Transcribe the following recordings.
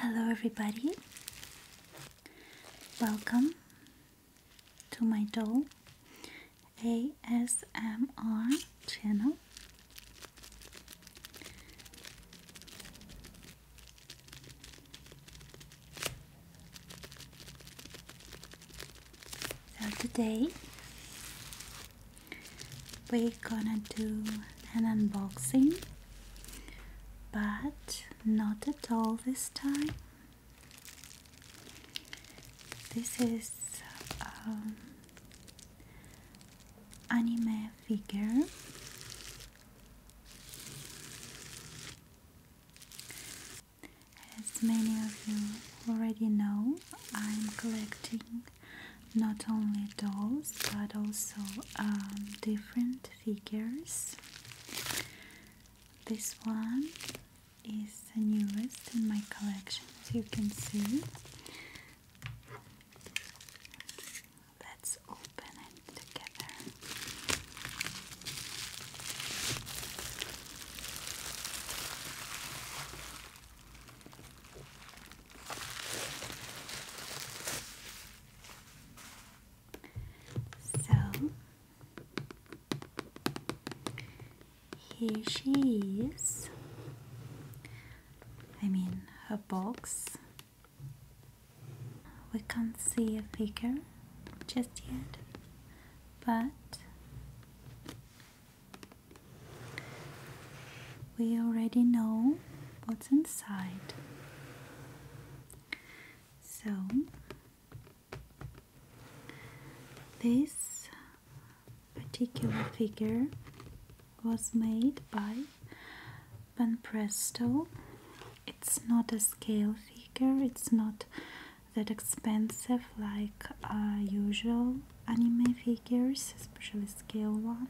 Hello, everybody. Welcome to my doll ASMR channel. So, today we're gonna do an unboxing but not at all this time this is um, anime figure as many of you already know I'm collecting not only dolls but also um, different figures. This one is the newest in my collection, as you can see. Let's open it together. So here she is. I mean, her box. We can't see a figure just yet, but we already know what's inside. So, this particular figure was made by Van Presto. It's not a scale figure, it's not that expensive like usual anime figures, especially scale one,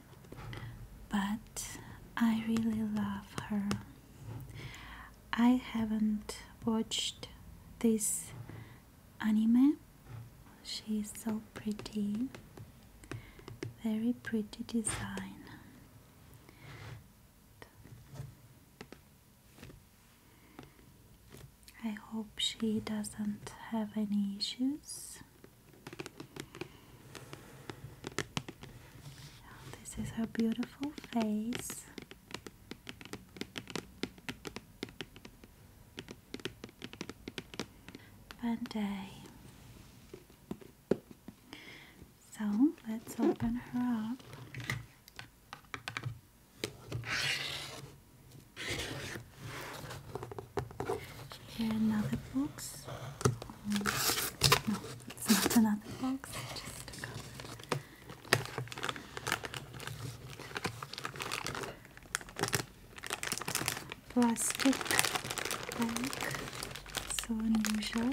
but I really love her. I haven't watched this anime. She is so pretty, very pretty design. I hope she doesn't have any issues. Oh, this is her beautiful face. Day. So let's open her up another box. Um, no, it's not another box, Plastic bag, so unusual.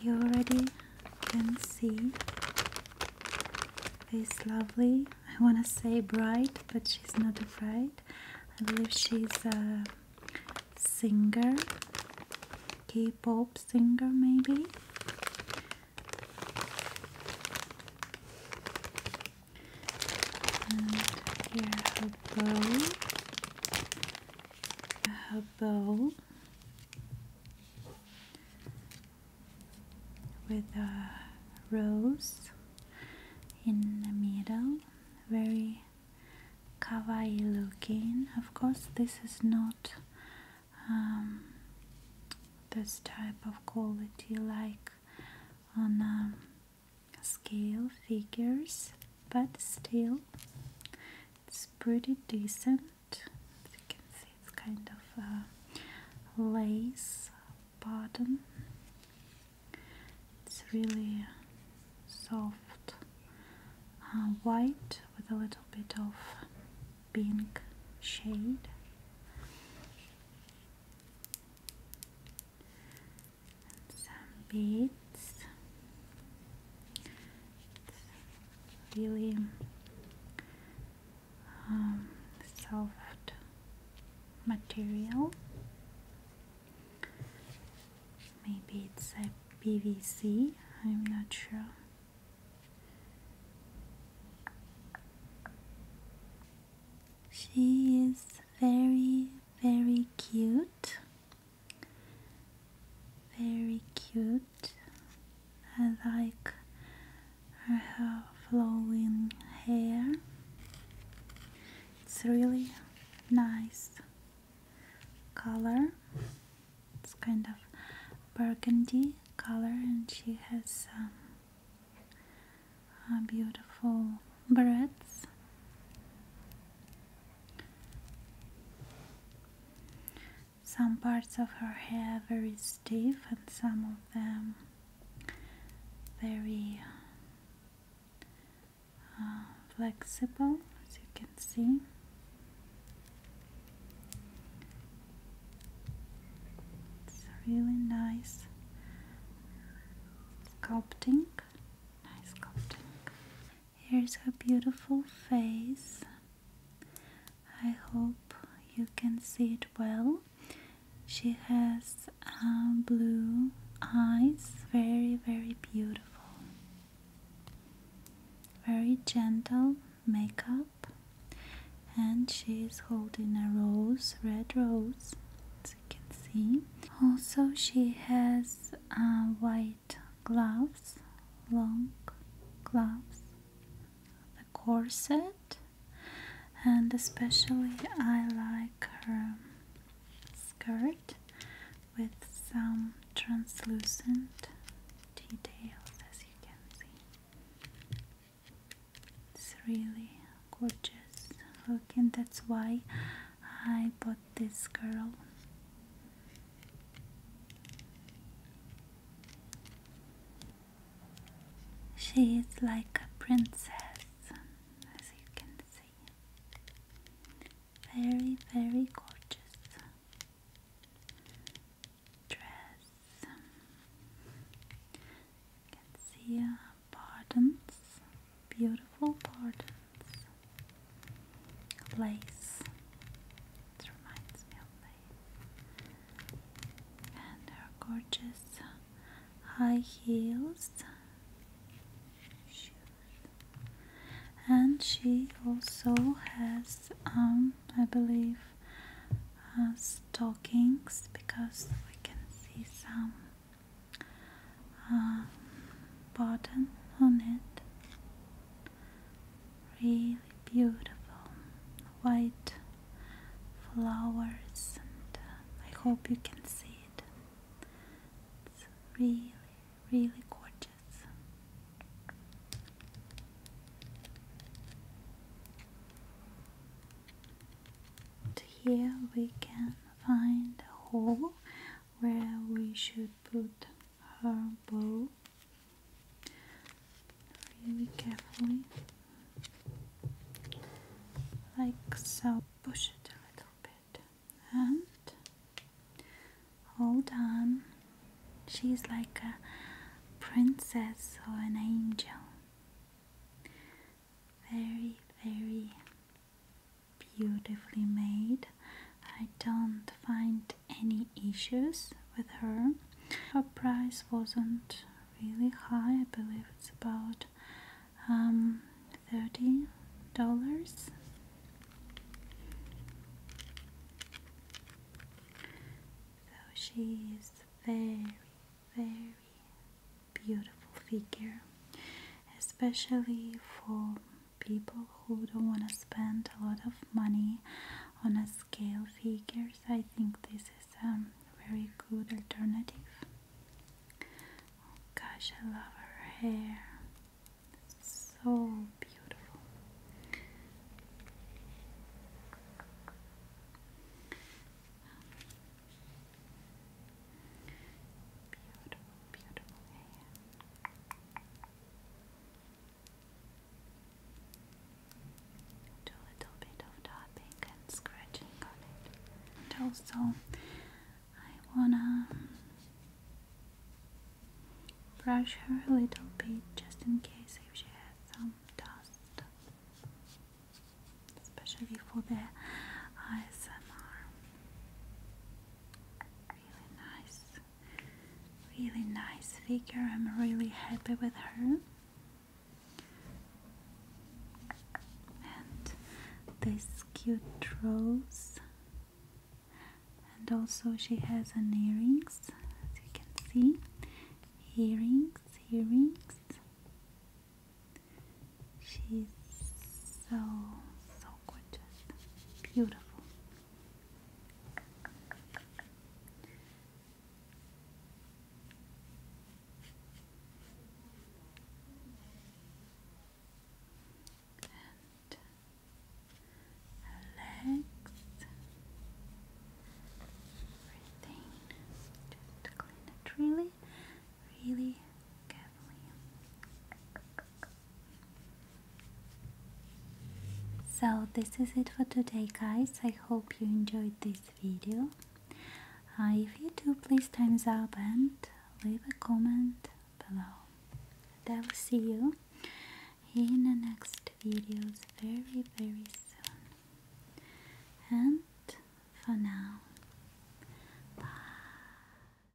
you already can see this lovely, I want to say bright, but she's not afraid. I believe she's a singer, K pop singer, maybe. And here her bow, her bow with a rose in the middle very kawaii looking of course this is not um, this type of quality like on um, scale figures but still it's pretty decent you can see, it's kind of lace bottom. It's really soft uh, white with a little bit of pink shade. some beads. It's really um, soft material. Maybe it's a PVC, I'm not sure. She is very, very cute very cute. I like her flowing hair. It's really nice color. It's kind of burgundy color, and she has um, uh, beautiful berets some parts of her hair very stiff and some of them very uh, flexible as you can see it's really nice sculpting nice sculpting Here's her beautiful face. I hope you can see it well. She has um, blue eyes, very, very beautiful. Very gentle makeup, and she's holding a rose, red rose, as you can see. Also, she has uh, white gloves, long gloves, the corset, and especially I like her skirt with some translucent details as you can see. It's really gorgeous looking, that's why I bought this girl. She is like a princess, as you can see. Very, very gorgeous dress. You can see uh, gardens, beautiful gardens. Lace. It reminds me of lace. And her gorgeous high heels And she also has, um, I believe, uh, stockings because we can see some uh, button on it really beautiful white flowers and uh, I hope you can see it it's really really gorgeous here we can find a hole where we should put her bow really carefully, like so. Push it a little bit and hold on. She's like a princess or an angel. Very, very beautifully made. I don't find any issues with her. Her price wasn't really high, I believe it's about um, $30. So she is very, very beautiful figure, especially for people who don't want to spend a lot of money on a scale figures i think this is a very good alternative oh gosh i love her hair so beautiful Beautiful, beautiful hair. Do a little bit of tapping and scratching on it. also, I wanna brush her a little bit just in case if she has some dust, especially for the ASMR really nice, really nice figure. I'm really happy with her. And this cute rose, and also she has an earrings, as you can see, earrings, earrings. She's so so just beautiful. And relax, everything. Just clean it really, really carefully. So this is it for today guys. I hope you enjoyed this video. Uh, if you do, please thumbs up and leave a comment below. And I will see you in the next videos very very soon. And for now, bye.